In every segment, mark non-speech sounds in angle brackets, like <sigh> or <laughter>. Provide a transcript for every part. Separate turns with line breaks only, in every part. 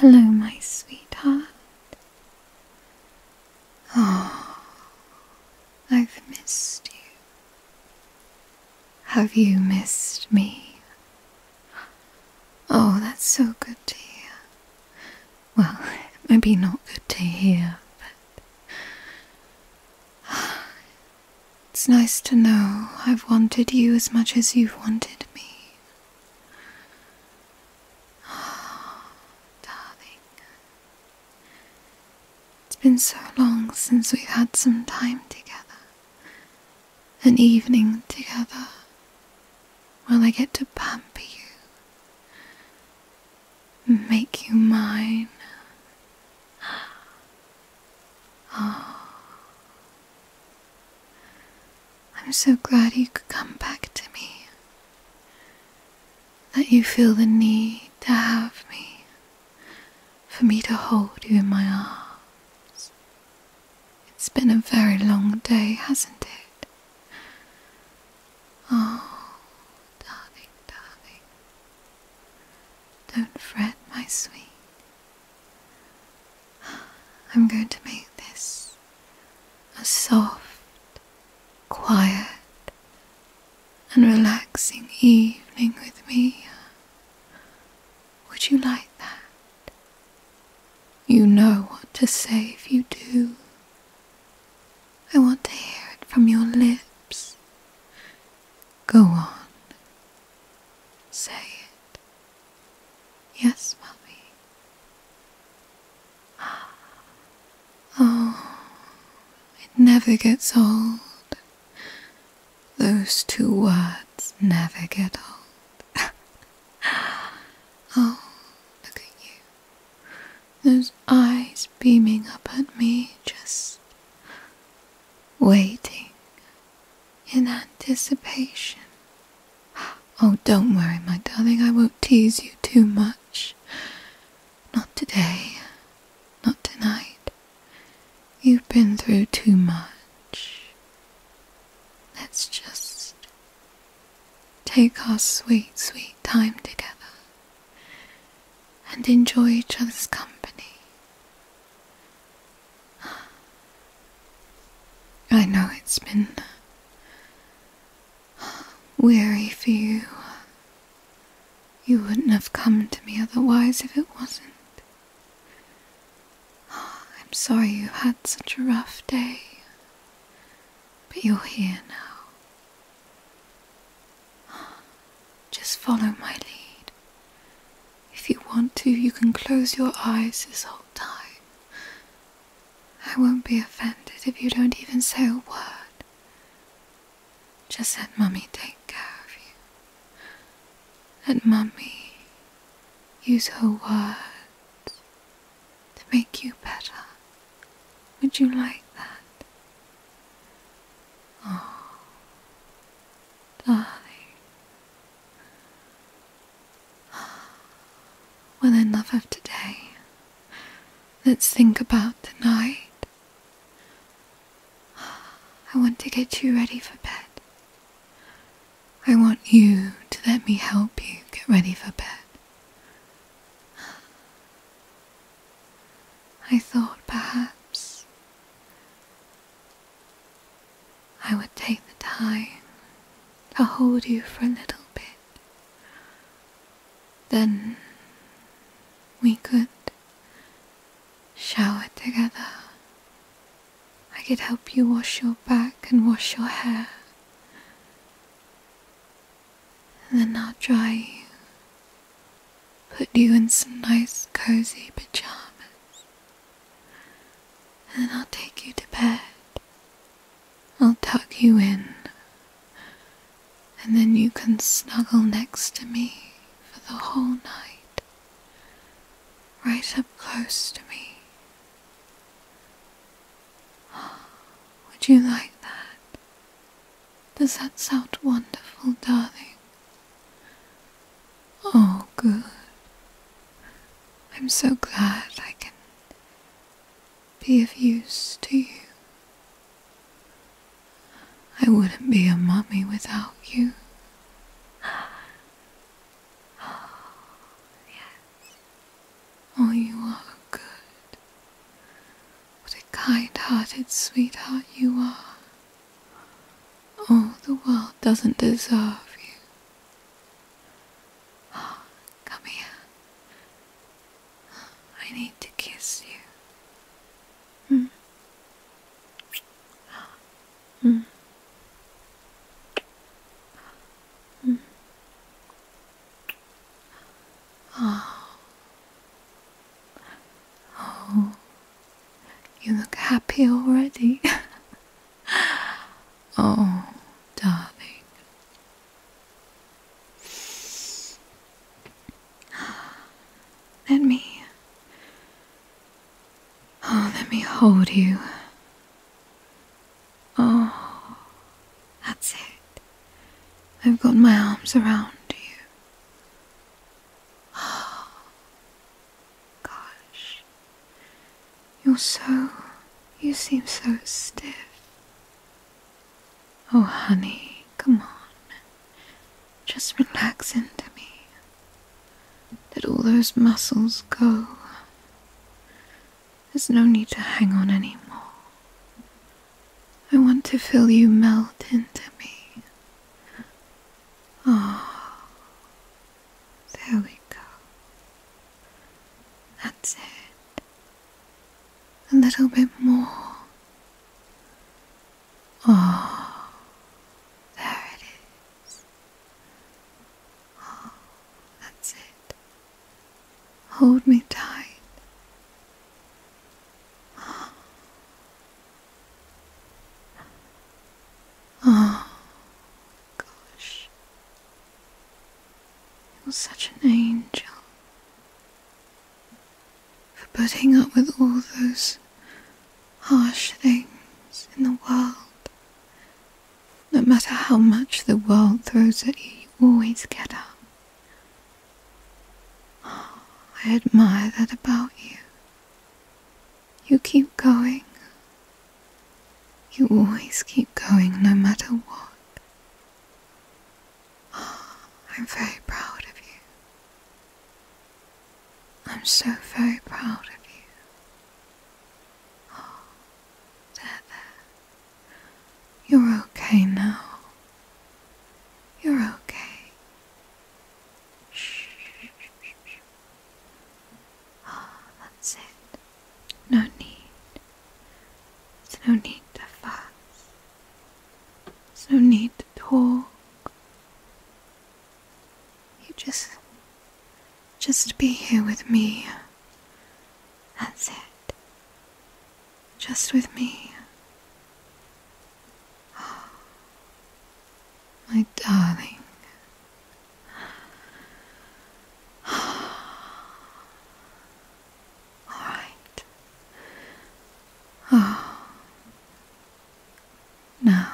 Hello, my sweetheart. Oh, I've missed you. Have you missed me? Oh, that's so good to hear. Well, <laughs> maybe not good to hear, but <sighs> It's nice to know I've wanted you as much as you've wanted me. <sighs> darling. It's been so long since we've had some time together. An evening together. While I get to pamper you. Make you mine. Oh. I'm so glad you could come back to me. That you feel the need to have me, for me to hold you in my arms. It's been a very long day, hasn't it? Oh, darling, darling. Don't fret, my sweet. I'm going to make this a soft, quiet, and relaxing evening with me. Would you like that? You know what to say if you do. I want to hear it from your lips. Go on, Say it. Yes, Mommy. Ah. Oh, it never gets old. Those two words never get old. <laughs> oh, look at you. Those eyes beaming up at me, just waiting in anticipation. Oh, don't worry, my darling, I won't tease you too much. Not today, not tonight. You've been through too much. Let's just take our sweet, sweet time together and enjoy each other's company. I know it's been weary for you. You wouldn't have come to me otherwise if it wasn't. I'm sorry you had such a rough day, but you're here now. Just follow my lead. If you want to, you can close your eyes this whole time. I won't be offended if you don't even say a word. Just let Mummy take care of you. Let Mummy use her words to make you better. Would you like that? Oh, die. Well, enough of today. Let's think about tonight. I want to get you ready for bed. I want you to let me help you get ready for bed. I thought perhaps I would take the time to hold you for a little bit. Then we could shower together. I could help you wash your back and wash your hair. And then I'll dry you put you in some nice cozy pajamas, and I'll take you to bed. I'll tuck you in, and then you can snuggle next to me for the whole night, right up close to me. <gasps> Would you like that? Does that sound wonderful, darling? Oh, good. I'm so glad I can be of use to you. I wouldn't be a mummy without you. Oh, yes. Oh, you are good. What a kind-hearted sweetheart you are. Oh, the world doesn't deserve you. Come here. I need to kiss you. Mm. Mm. Mm. Oh. Oh. You look happy already. <laughs> oh, darling. Let me. Oh, let me hold you. Oh, that's it. I've got my arms around you. Gosh, you're so. you seem so stiff. Oh, honey, come on. Just relax into me. Let all those muscles go. There's no need to hang on anymore. I want to feel you melt into me. Oh, there we go. That's it. A little bit more. Oh, there it is. Oh, that's it. Hold me tight. Oh, Oh, gosh. He was such an angel for putting up with all those harsh things in the world. No matter how much the world throws at you, you always get up. Oh, I admire that about you. You keep going. You always keep going no matter what. Oh, <gasps> I'm very proud of you. I'm so very proud of you. Oh, <gasps> there, there. You're okay now. You're okay. Ah, that's it. No need. There's no need to fuss. There's no need to talk. You just. Just be here with me. That's it. Just with me. <gasps> My darling. <sighs> All right. <sighs> Now,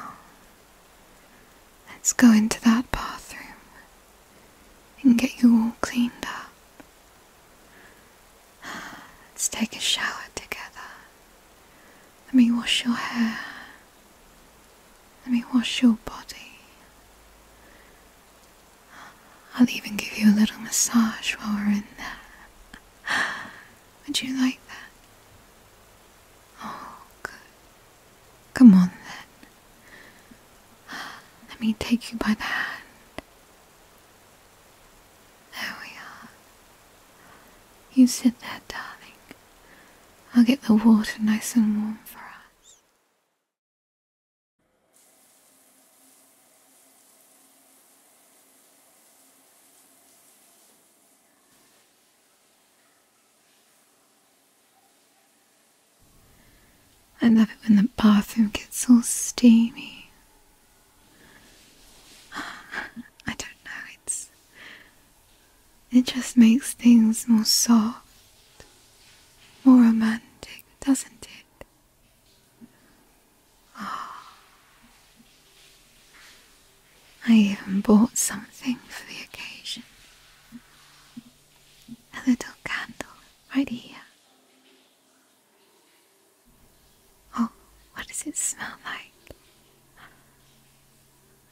let's go into that bathroom and get you all cleaned up. <sighs> Let's take a shower together. Let me wash your hair. Let me wash your body. I'll even give you a little massage while we're in there. <gasps> Would you like that? Oh, good. Come on then. Let me take you by the hand. There we are. You sit there, darling. I'll get the water nice and warm for us. I love it when the bathroom gets all steamy <sighs> I don't know, it's it just makes things more soft, more romantic, doesn't it? Oh. <sighs> I even bought something for the occasion. A little candle right here. Oh, what does it smell like?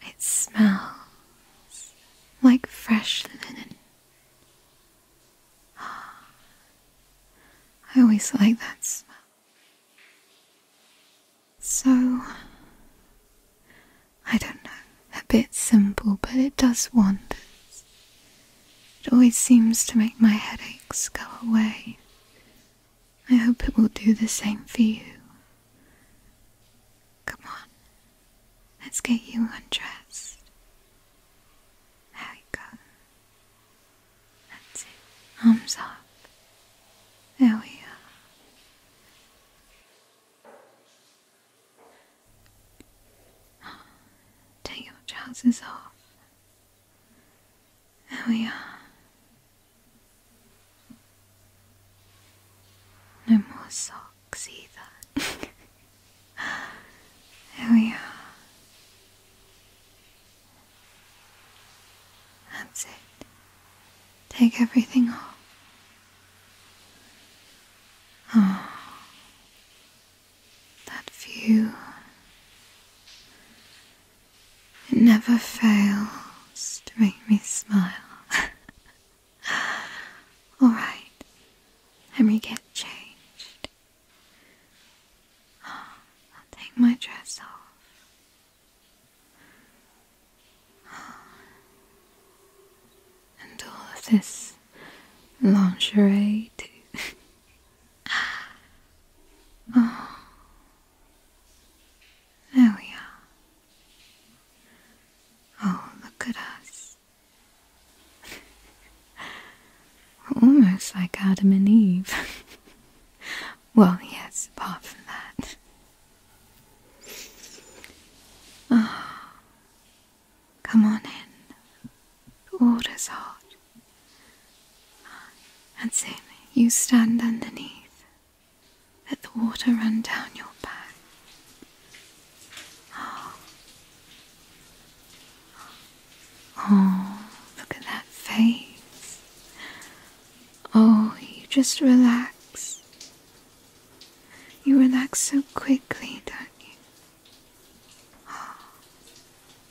It smells like fresh linen. I always like that smell. So, I don't know, a bit simple, but it does wonders. It always seems to make my headaches go away I hope it will do the same for you. Come on, let's get you undressed. There we go. That's it. Arms up. There we are. Take your trousers off. There we are. No more socks either. <laughs> there we are. That's it. Take everything off. Oh, that view. It never fails to make me smile. <laughs> Alright, let me get changed. I'll take my dress off. And all of this lingerie, too. <laughs> Oh. There we are. Oh, look at us. almost like Adam and Eve. <laughs> well, yes, apart from that. Ah, come on in. The water's hot and same you stand underneath, let the water run down your back. Oh, oh look at that face. Oh, you just relax. You relax so quickly, don't you?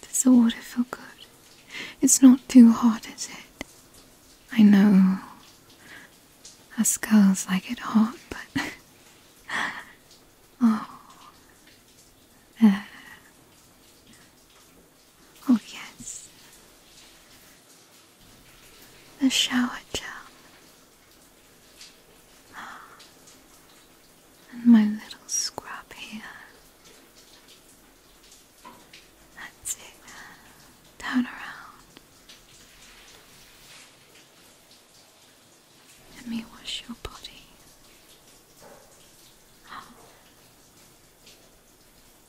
does the water feel good? It's not too hot, is it? I know us skulls like it hot, but <laughs> oh, uh, Oh yes, the shower gel and my little scrub here. That's it. Turn around. Let me wash your body.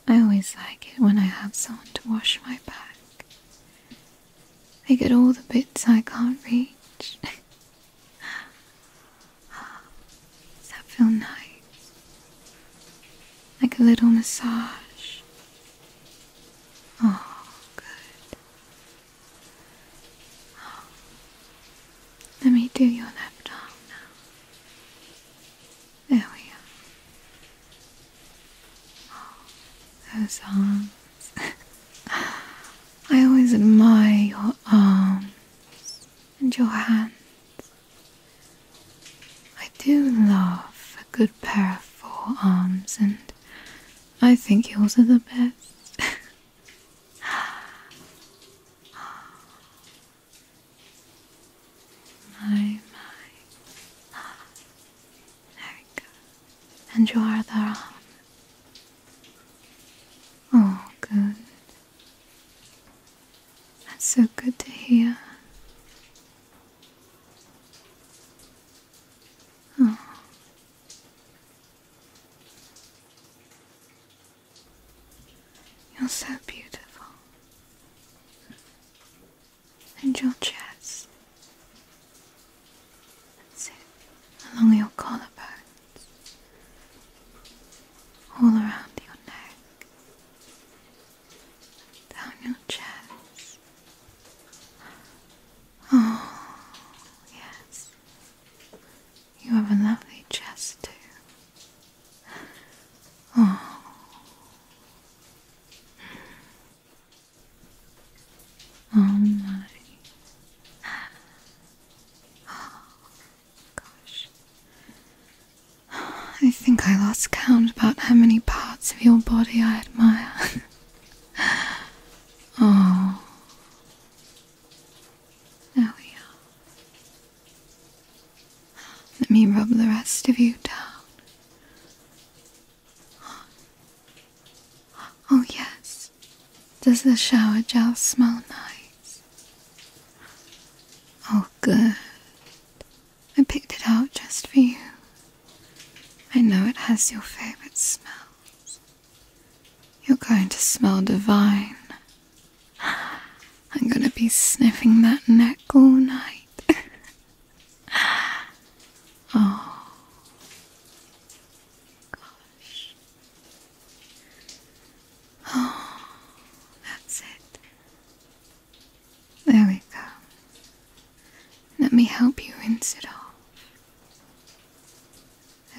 I always like it when I have someone to wash my back. They get all the bits I can't reach. <laughs> Does that feel nice? Like a little massage? Oh, good. Oh. Let me do your left arm now. There we Oh, those arms. <laughs> I always admire your arms and your hands. I do love a good pair of forearms, and I think yours are the best. <laughs> my, my. There we go. And your other arm. Oh, good. That's so good to hear. Oh. You're so beautiful. And your chest. That's Along your collarbones. All around your neck down your chest. Oh, yes. You have a lovely chest too. Oh. Oh my. Ah. Gosh. <sighs> I think I lost count about how many parts of your body I admire. <laughs> oh. There we are. Let me rub the rest of you down. <gasps> Oh, yes. Does the shower gel smell nice? Oh, good. I picked it out just for you. I know it has your favorite smells. You're going to smell divine. I'm gonna be sniffing that neck all night. <laughs> oh, gosh. Oh, <gasps> that's it. There we go. Let me help you rinse it off.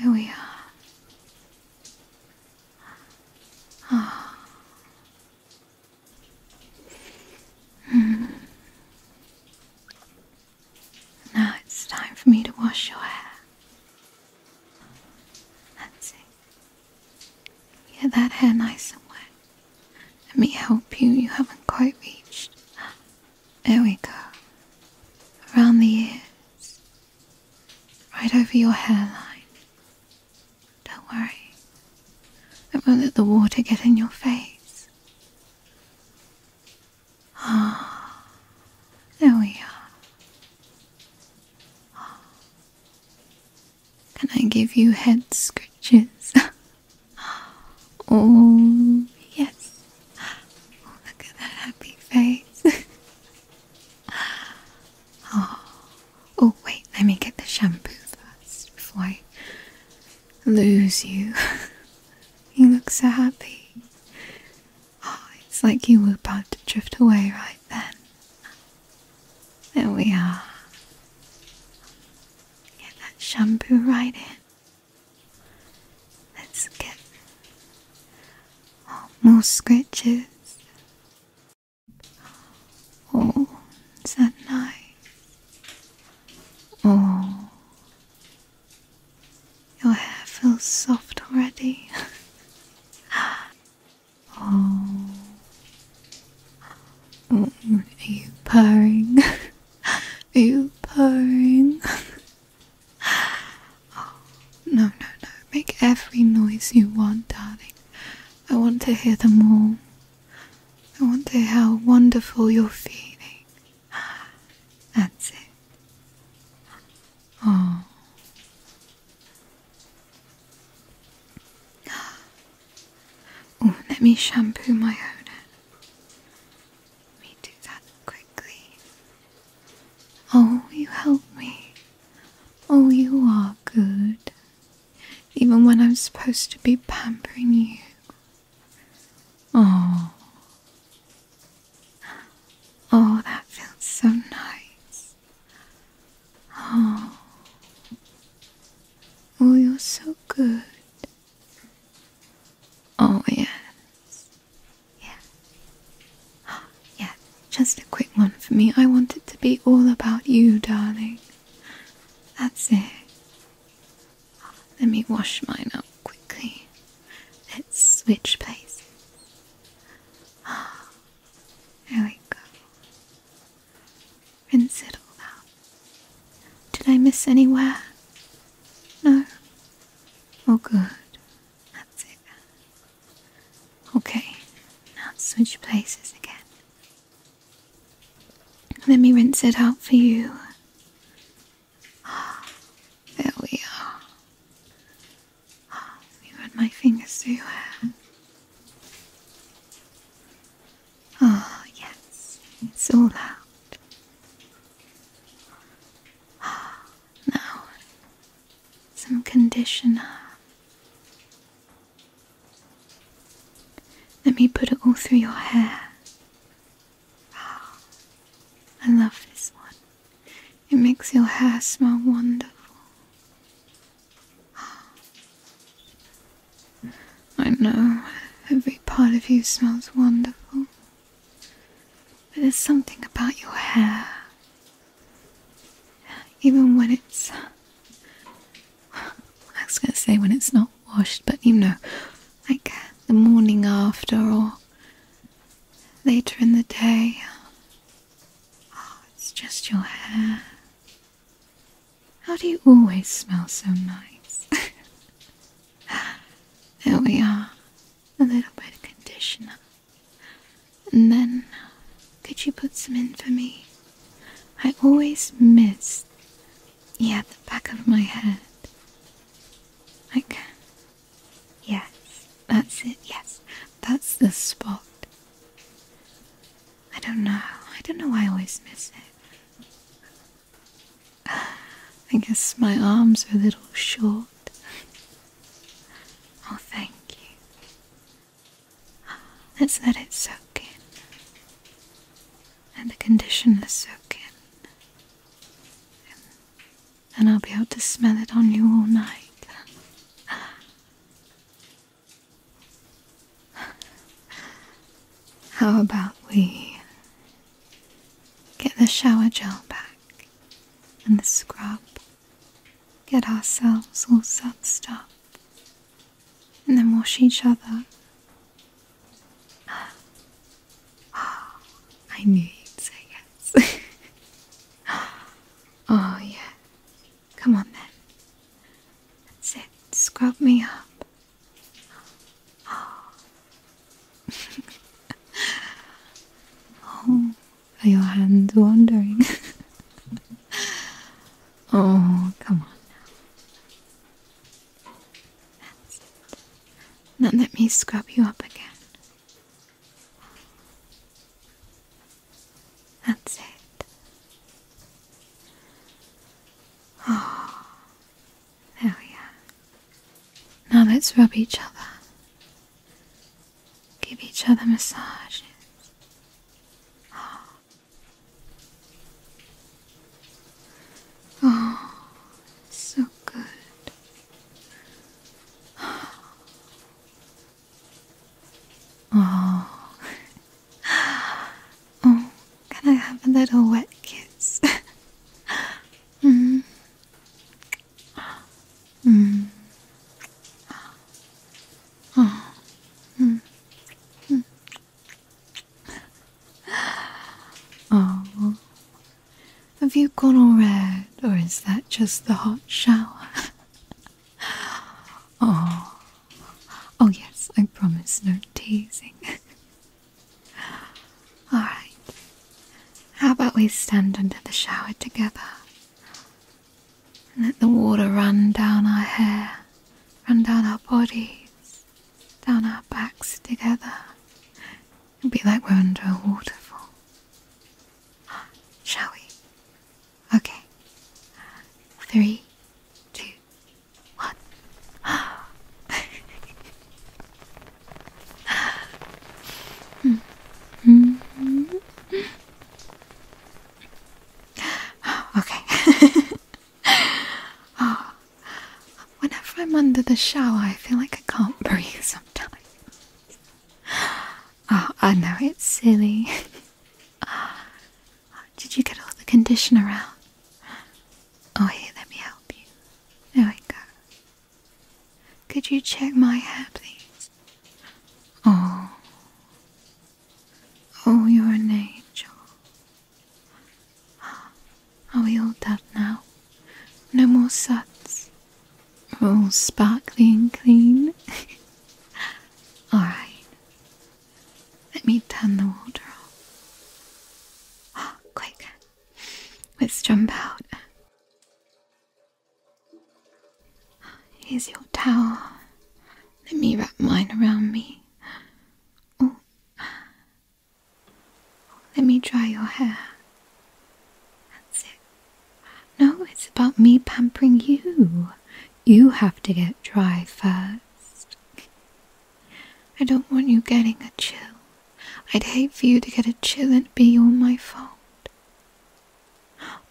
There we are. Ah. <sighs> Mm. Now it's time for me to wash your hair. That's it. Yeah, that hair nice and wet. Let me help you. You haven't quite reached. There we go. Around the ears. Right over your hairline. Don't worry. I won't let the water get in your face. Ah, there we are. Can I give you head scratches? <laughs> oh, yes. Oh, look at that happy face. <laughs> oh. oh, wait, let me get the shampoo first before I lose you. <laughs> you look so happy. Oh, it's like you were about to drift away right then. There we are. Get that shampoo right in. Let's get more scratches. Oh, is that nice? Oh, your hair feels soft already. <laughs> Oh. Are you purring? <laughs> Are you purring? <laughs> Oh, no, no, no. Make every noise you want, darling. I want to hear them all. I wonder how wonderful you're feeling. <sighs> That's it. Oh. <gasps> Oh, let me shampoo my own head. me do quickly. Oh, you help me. Oh, you are good. Even when I'm supposed to be pampering you. Oh. <gasps> Oh, that feels so nice. Oh, <gasps> oh you're so good. Oh, yes. Yeah. <gasps> Yeah, just a quick one for me. I want it to be all about you, darling. That's it. <gasps> Let me wash mine up quickly. Let's switch places. Oh, there we go. Rinse it all out. Did I miss anywhere? No? All good. That's it. Okay, now switch places again. Let me rinse it out for you. Ah, there we are. Ah, you run my fingers through your hair. Oh, yes, it's all out. Ah, now, some conditioner. Let me put it all through your hair. Oh, I love this one. It makes your hair smell wonderful. I know every part of you smells wonderful, but there's something about your hair, even when it's. I was going to say when it's not washed, but you know, like the morning after or later in the day, Oh, it's just your hair. How do you always smell so nice? <laughs> there we are. A little bit of conditioner. And then, could you put some in for me? I always miss. Yeah, the back of my head. I can. Yes, that's it. Yes, that's the spot. I don't know. I don't know why I always miss it. I guess my arms are a little short. Oh, thank you. Let's let it soak in. And the conditioner soak in. And I'll be able to smell it on you all night. <laughs> How about we get the shower gel back and the scrub, get ourselves all sudsed up, and then wash each other? <gasps> Oh, I knew you'd say yes. <laughs> oh, yeah. Come on then. That's it. Scrub me up. <laughs> Oh, are your hands wandering? <laughs> oh, come on That's it. Now let me scrub you up again. That's it. Oh, there we Now let's rub each other. Give each other massages. Oh, oh so good. Oh. <laughs> Oh, can I have a little wet kiss? <laughs> mm. Mm. Oh. Mm. Mm. Oh. Have you gone all red, or is that just the hot shower? <laughs> <gasps> Oh, oh yes, I promise no teasing. <laughs> All right. How about we stand under the shower together let the water run down our hair, run down our bodies, down our backs together. It'll be like we're under a waterfall. <gasps> Shall we? Okay. Three, two, one. <laughs> Okay. <laughs> whenever I'm under the shower, I feel like I can't breathe sometimes. Oh, I know it's silly. <laughs> Did you get all the conditioner out? Oh, here, let me help you. There we go. Could you check my hair, please? Oh. Oh, you're an angel. Are we all done now? No more suds. We're all sparkly and clean. <laughs> Alright. Let me turn the water off. Oh, <gasps> quick. Let's jump out. Here's your towel. Let me wrap mine around me. Oh. Let me dry your hair. That's it. No, it's about me pampering you. You have to get dry first. I don't want you getting a chill. I'd hate for you to get a chill and be all my fault.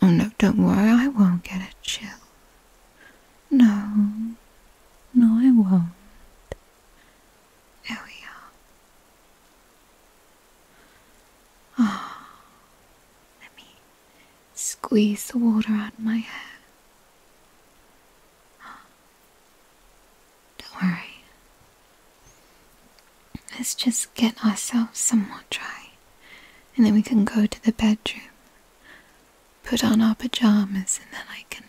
Oh no, don't worry, I won't get a chill. No, no, I won't. There we are. Ah, let me squeeze the water out of my hair. Don't worry. Let's just get ourselves somewhat dry, and then we can go to the bedroom, put on our pajamas, and then I can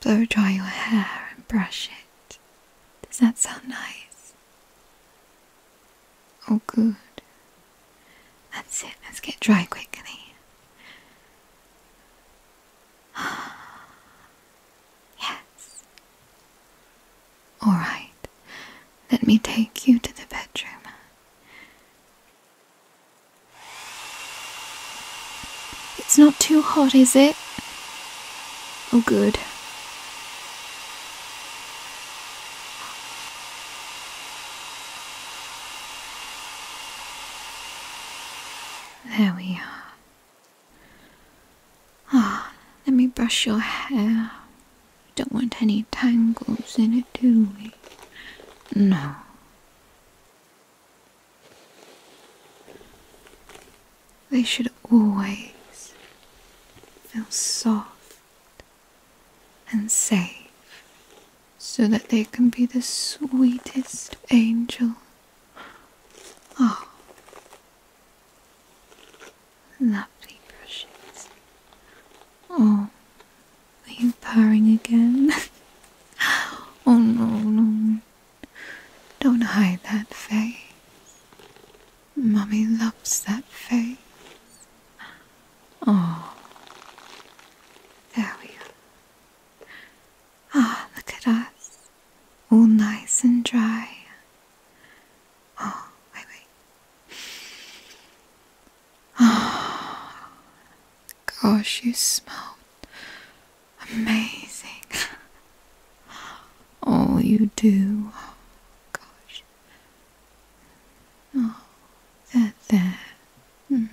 blow dry your hair and brush it. Does that sound nice? Oh, good. That's it. Let's get dry quickly. <gasps> yes. All right. Let me take you to the bedroom. It's not too hot, is it? Oh, good. There we are. Ah, let me brush your hair. We don't want any tangles in it, do we? No. They should always feel soft and save, so that they can be the sweetest angel. Oh, lovely brushes. Oh, are you purring again? <laughs> oh no, no. Don't hide that face. Mummy loves that face. Oh, there we are. Ah, look at us, all nice and dry. Oh, wait, wait. Oh, gosh, you smell amazing. <laughs> Oh, you do. Oh, gosh. Oh, there, there. Mm.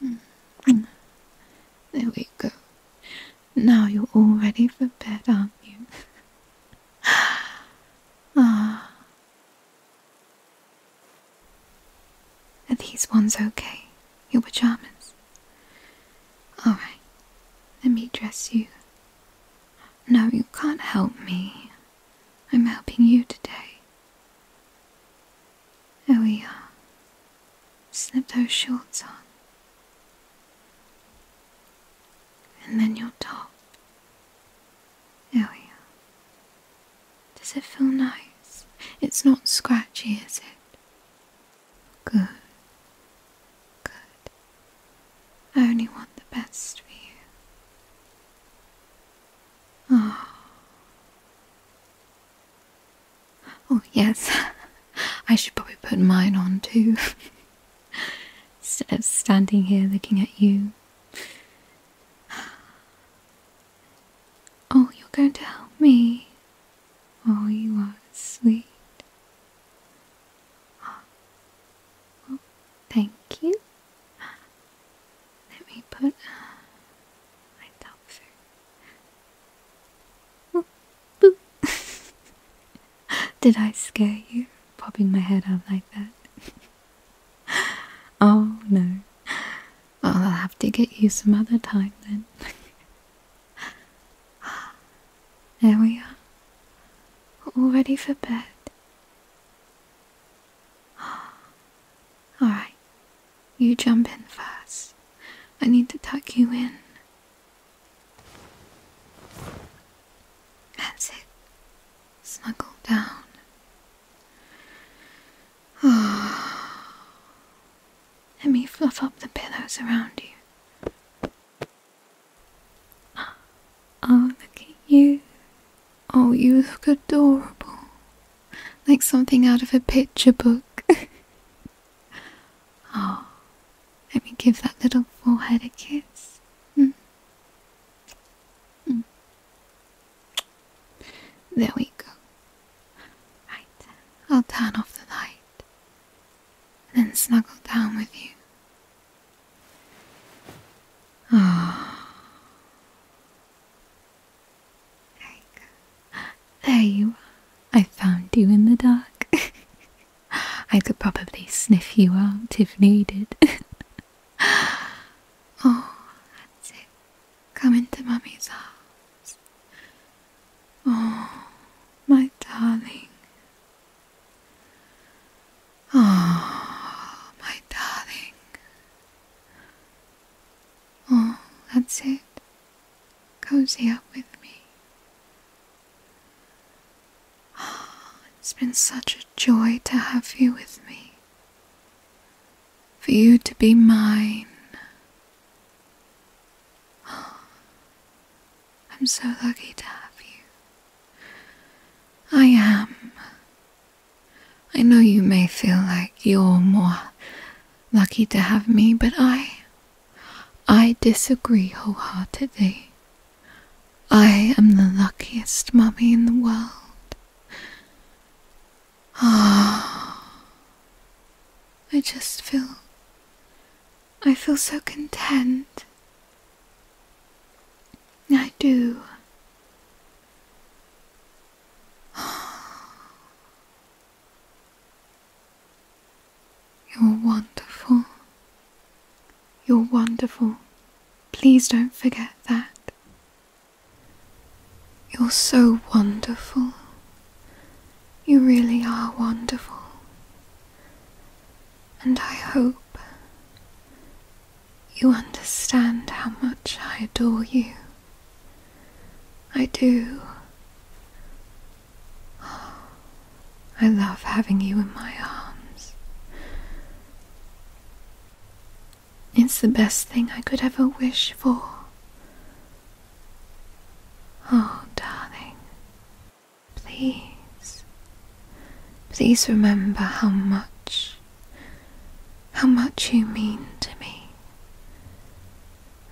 Mm. Mm. There we go. Now you're all ready for bed, aren't you? <gasps> ah. Are these ones okay? Your pajamas? Alright, let me dress you no, you can't help me. I'm helping you today. There we are. Slip those shorts on. And then your top. There Does it feel nice? It's not scratchy, is it? Good. Good. I only want the best for you. Oh. Oh, yes. <laughs> I should probably put mine on too. <laughs> Instead of standing here looking at you. Oh, you're going to help me. Oh, you are sweet. Well, thank you. Let me put my top oh, <laughs> Did I scare you, popping my head up like that? <laughs> oh no. I'll have to get you some other time then. <laughs> There we are. We're all ready for bed. <gasps> Alright, you jump in first. I need to tuck you in. That's Snuggle down. <sighs> Let me fluff up the pillows around you. Oh, look at you. Oh, you look adorable. Like something out of a picture book. <laughs> oh, let me give that little forehead a kiss. Mm. Mm. There we go. Right, I'll turn off the light then snuggle down with you. Oh. There you are. I found you in the dark. <laughs> I could probably sniff you out if needed. <laughs> oh, Come into Mummy's arms. Oh, my darling. Oh, my darling. Oh, that's it. Cozy up with me. Oh, it's been such a joy to have you with me. For you to be mine. Ah, I'm so lucky to have you. I am. I know you may feel like you're more lucky to have me, but I. I disagree wholeheartedly. I am the luckiest mummy in the world. Ah, I just feel I feel so content. I do. <gasps> You're wonderful. You're wonderful. Please don't forget that. You're so wonderful. You really are wonderful and I hope you understand how much I adore you. I do. I love having you in my arms. It's the best thing I could ever wish for. Oh, darling. Please, please remember how much, how much you mean to me.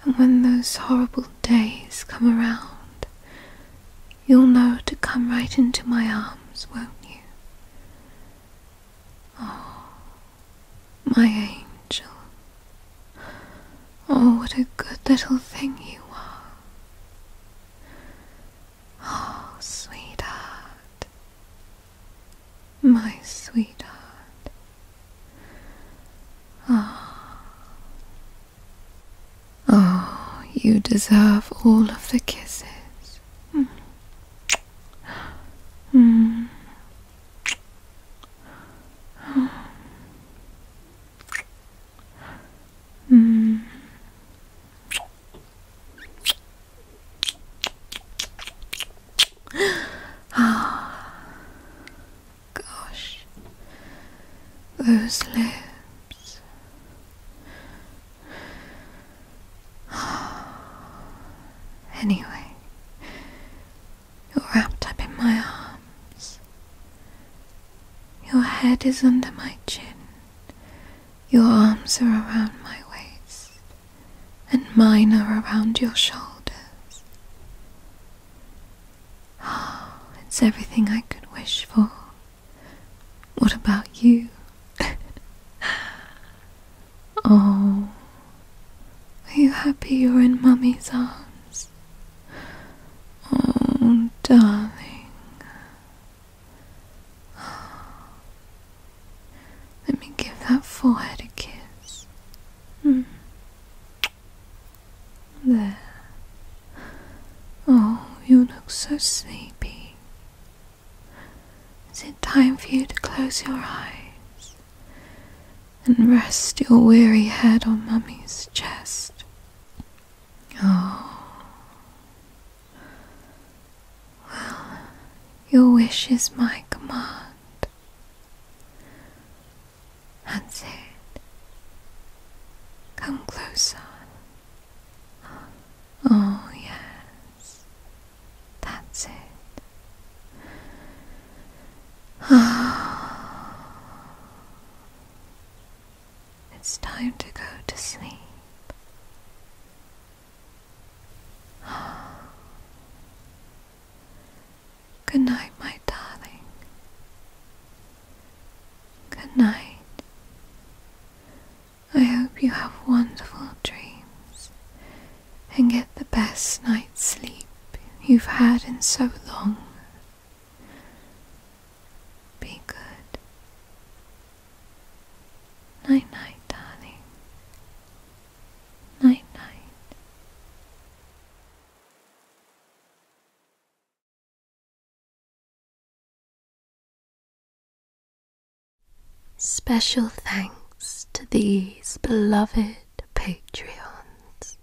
And when those horrible days come around, you'll know to come right into my arms, won't you? Oh, my angel. Oh, what a good little thing you are. Oh, sweetheart, my sweetheart. Ah. Oh. you deserve all of the kisses. Mm. mm. Mm. Oh, <gasps> gosh, those lips. <sighs> Anyway, you're wrapped up in my arms. Your head is under my chin, your arms are around my waist, and mine are around your shoulders. Ah, it's everything I could wish for. What about you? <laughs> oh, are you happy you're in Mummy's arms? Oh, darling. Let me give that forehead a kiss. Hmm. There. Oh, you look so sleepy. Is it time for you to close your eyes and rest your weary head on Mummy's chest? Oh. Well, your wish is my command. And Come closer. Oh, yes. That's it. Ah. It's time to go to sleep. <sighs> Good night, my darling. Good night. I hope you have wonderful dreams and get the best night's sleep you've had in so long. Be good. Night night, darling. Night night. Special thanks to these beloved Patreons.